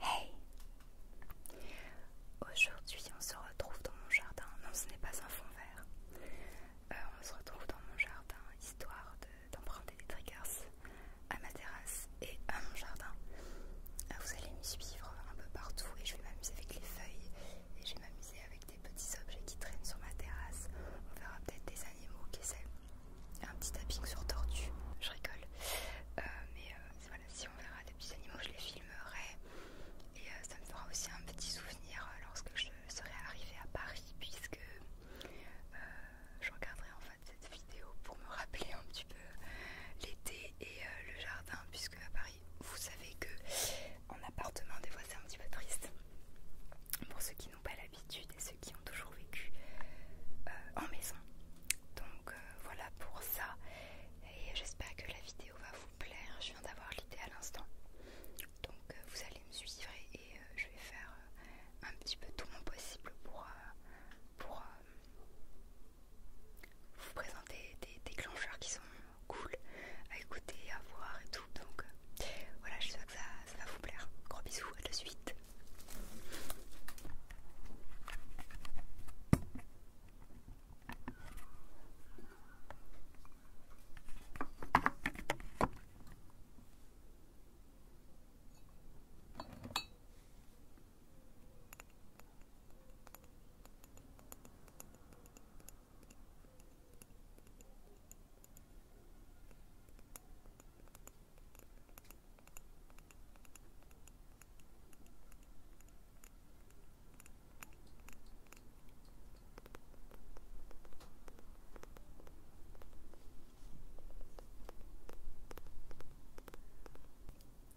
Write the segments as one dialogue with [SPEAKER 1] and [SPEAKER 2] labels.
[SPEAKER 1] Hey Aujourd'hui on se retrouve dans mon jardin. Non ce n'est pas un fond vert. Euh, on se retrouve dans mon jardin histoire d'emprunter des triggers à ma terrasse et à mon jardin. Euh, vous allez me suivre un peu partout et je vais m'amuser avec les feuilles et je vais m'amuser avec petits objets qui traînent sur ma terrasse. On verra peut-être des animaux qui essaient. Un petit tapping sur tortue, je rigole. Euh, mais euh, voilà, si on verra des petits animaux, je les filmerai. Et euh, ça me fera aussi un petit souvenir lorsque je serai arrivée à Paris, puisque je regarderai en fait cette vidéo pour me rappeler un petit peu l'été et le jardin, puisque à Paris vous savez que en appartement, des fois c'est un petit peu triste. Pour ceux qui n'ont pas l'habitude et ceux qui ont toujours vécu euh, en maison. Donc euh, voilà pour ça. Et j'espère que la vidéo va vous plaire. Je viens d'avoir l'idée à l'instant. Donc euh, vous allez me suivre et, je vais faire un petit peu tout mon possible pour, pour vous présenter des déclencheurs qui sont cool à écouter, à voir et tout. Donc euh, voilà, je que ça, va vous plaire. Gros bisous, à la suite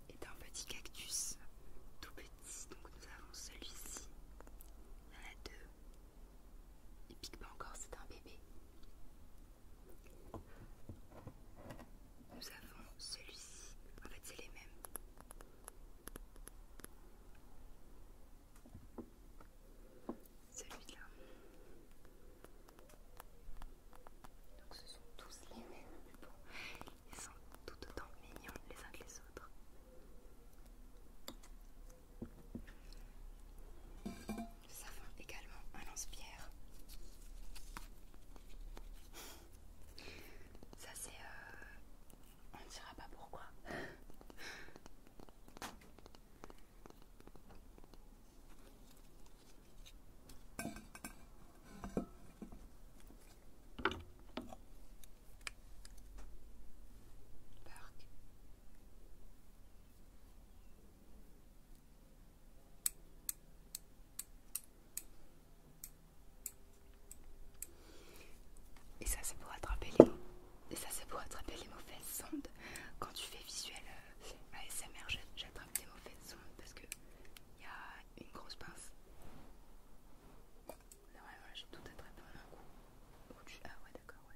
[SPEAKER 1] et un petit cactus tout petit. Donc nous avons celui-ci. Il y en a deux. Il pique pas encore, c'est un bébé. Nous avons celui-ci. En fait, c'est les mêmes. Celui-là. Donc ce sont tous les mêmes. Ils sont tout autant mignons les uns que les autres. Ça fait également un lance-pierre. Ça c'est... Euh, on ne dira pas pourquoi. Et ça c'est pour attraper les mots. c'est pour attraper les mauvaises sondes. Quand tu fais visuel ASMR, euh, j'attrape les mauvaises sondes parce que y a une grosse pince. Normalement j'ai tout attrapé en un coup. Ah ouais d'accord ouais.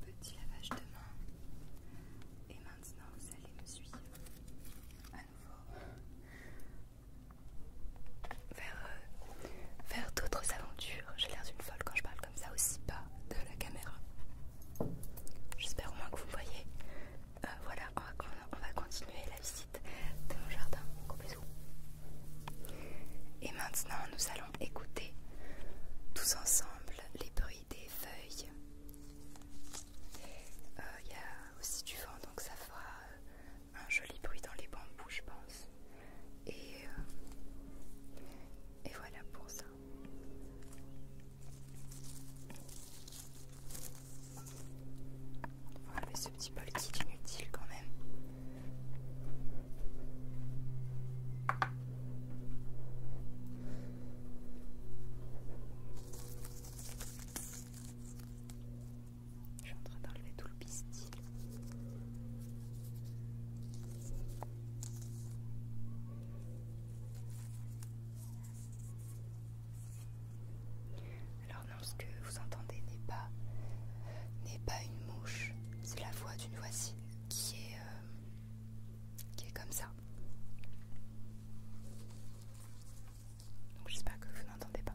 [SPEAKER 1] Petit lavage de main. Et maintenant, vous allez me suivre. Euh, vers, d'autres aventures. J'ai l'air d'une folle quand je parle comme ça aussi pas de la caméra. J'espère au moins que vous voyez. Euh, voilà, on va, continuer la visite de mon jardin. Et maintenant, nous allons écouter tous ensemble les bruits des feuilles. Euh, il y a aussi du vent, donc ça fera euh, un joli bruit dans les bambous, je pense. Et, euh, et voilà pour ça. ce petit bol est inutile quand même. Je suis en train d'enlever tout le pistil. Alors non, ce que vous entendez n'est pas n'est pas une mouche, c'est la voix d'une voisine qui est euh, qui est comme ça. Donc j'espère que vous n'entendez pas.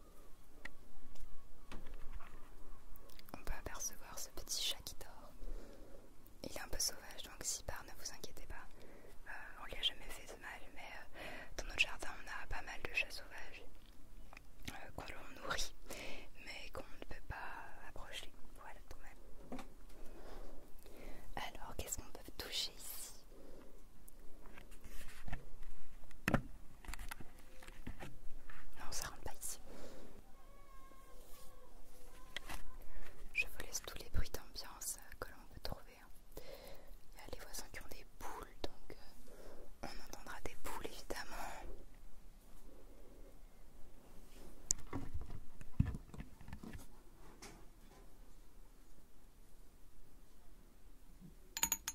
[SPEAKER 1] On peut apercevoir ce petit chat qui dort. Il est un peu sauvage, donc si par ne vous inquiétez pas. Euh, on lui a jamais fait de mal, mais euh, dans notre jardin, on a pas mal de chats sauvages euh, qu'on l'on nourrit, mais qu'on ne peut pas approcher. Voilà, tout même. Alors, qu'est-ce qu'on peut toucher ici non, ça rentre pas ici. Je vous laisse tous les bruits d'ambiance euh, que l'on peut trouver. Hein. Il y a les voisins qui ont des boules donc euh, on entendra des boules, évidemment.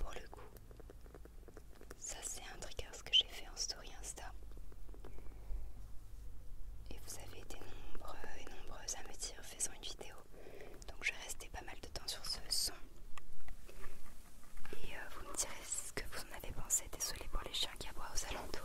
[SPEAKER 1] Pour le coup, ça c'est un trigger ce que j'ai fait en story Insta. Et vous avez été nombreux et nombreuses à me dire faisant une vidéo. Donc je vais pas mal de temps sur ce son. Et euh, vous me direz ce que vous en avez pensé. Désolée pour les chiens qui aboient aux alentours.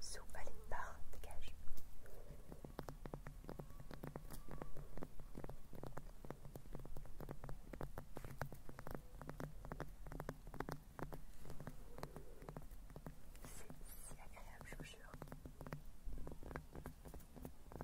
[SPEAKER 1] Sous, allez, pars, dégage. C'est si agréable, je vous jure.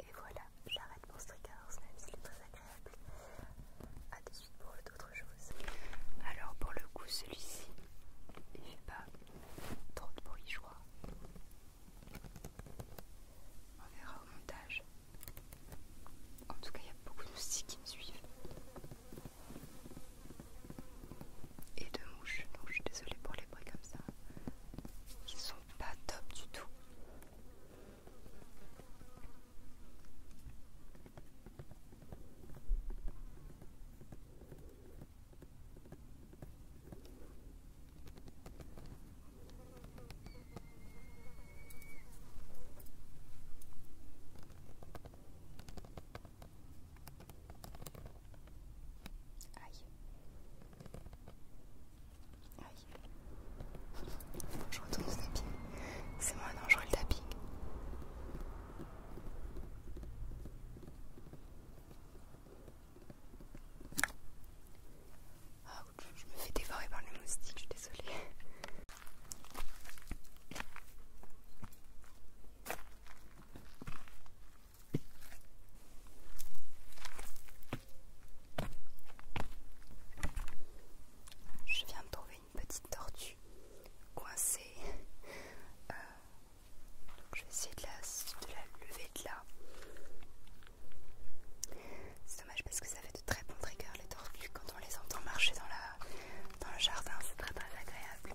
[SPEAKER 1] Et voilà, j'arrête mon streakers, même si c'est très agréable. A tout de suite pour d'autres choses. Alors, pour le coup, celui-ci, il fait pas Trop de bruit, vois. On verra au montage. En tout cas, il y a beaucoup de moustiques qui me suivent. Et de mouches, donc je suis désolée pour les bruits comme ça. Ils sont pas top du tout. Aïe. Aïe. Je retourne le tapis. C'est moins dangereux le tapis. Ah, je me fais dévorer par les moustiques, je suis désolée. Je viens de trouver une petite tortue coincée euh, je vais essayer de la, de la lever de là. C'est dommage parce que ça fait de très bons triggers les tortues quand on les entend marcher dans, la, dans le jardin, c'est très très agréable.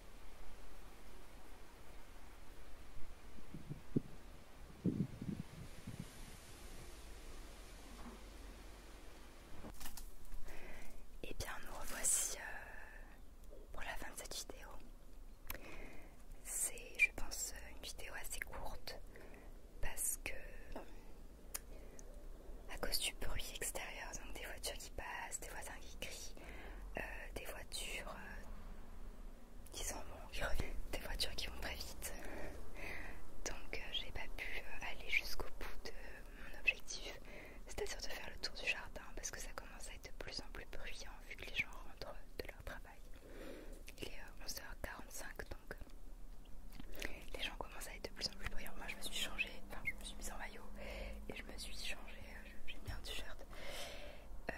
[SPEAKER 1] Et eh bien nous revoici euh, pour la fin de cette vidéo. C'est je pense euh, une vidéo assez courte parce que euh, à cause du bruit extérieur donc des voitures qui des voisins qui crient, euh, des voitures euh, qui sont bonnes, des voitures qui vont très vite. Donc euh, j'ai pas pu aller jusqu'au bout de mon objectif, c'est-à-dire de faire le tour du jardin parce que ça commence à être de plus en plus bruyant vu que les gens rentrent de leur travail. Il est 11h45 donc les gens commencent à être de plus en plus bruyants. Moi je me suis changée, enfin je me suis mise en maillot je me suis changée, euh, j'ai bien un t-shirt. Euh,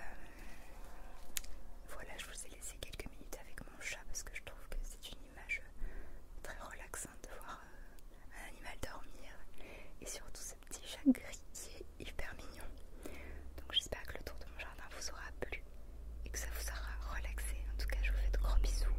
[SPEAKER 1] voilà, je vous ai laissé quelques minutes avec mon chat parce que je trouve que c'est une image euh, très relaxante de voir un animal dormir et surtout ce petit chat gris hyper mignon. Donc j'espère que le tour de mon jardin vous aura plu et que ça vous aura relaxé. En tout cas, je vous fais de gros bisous.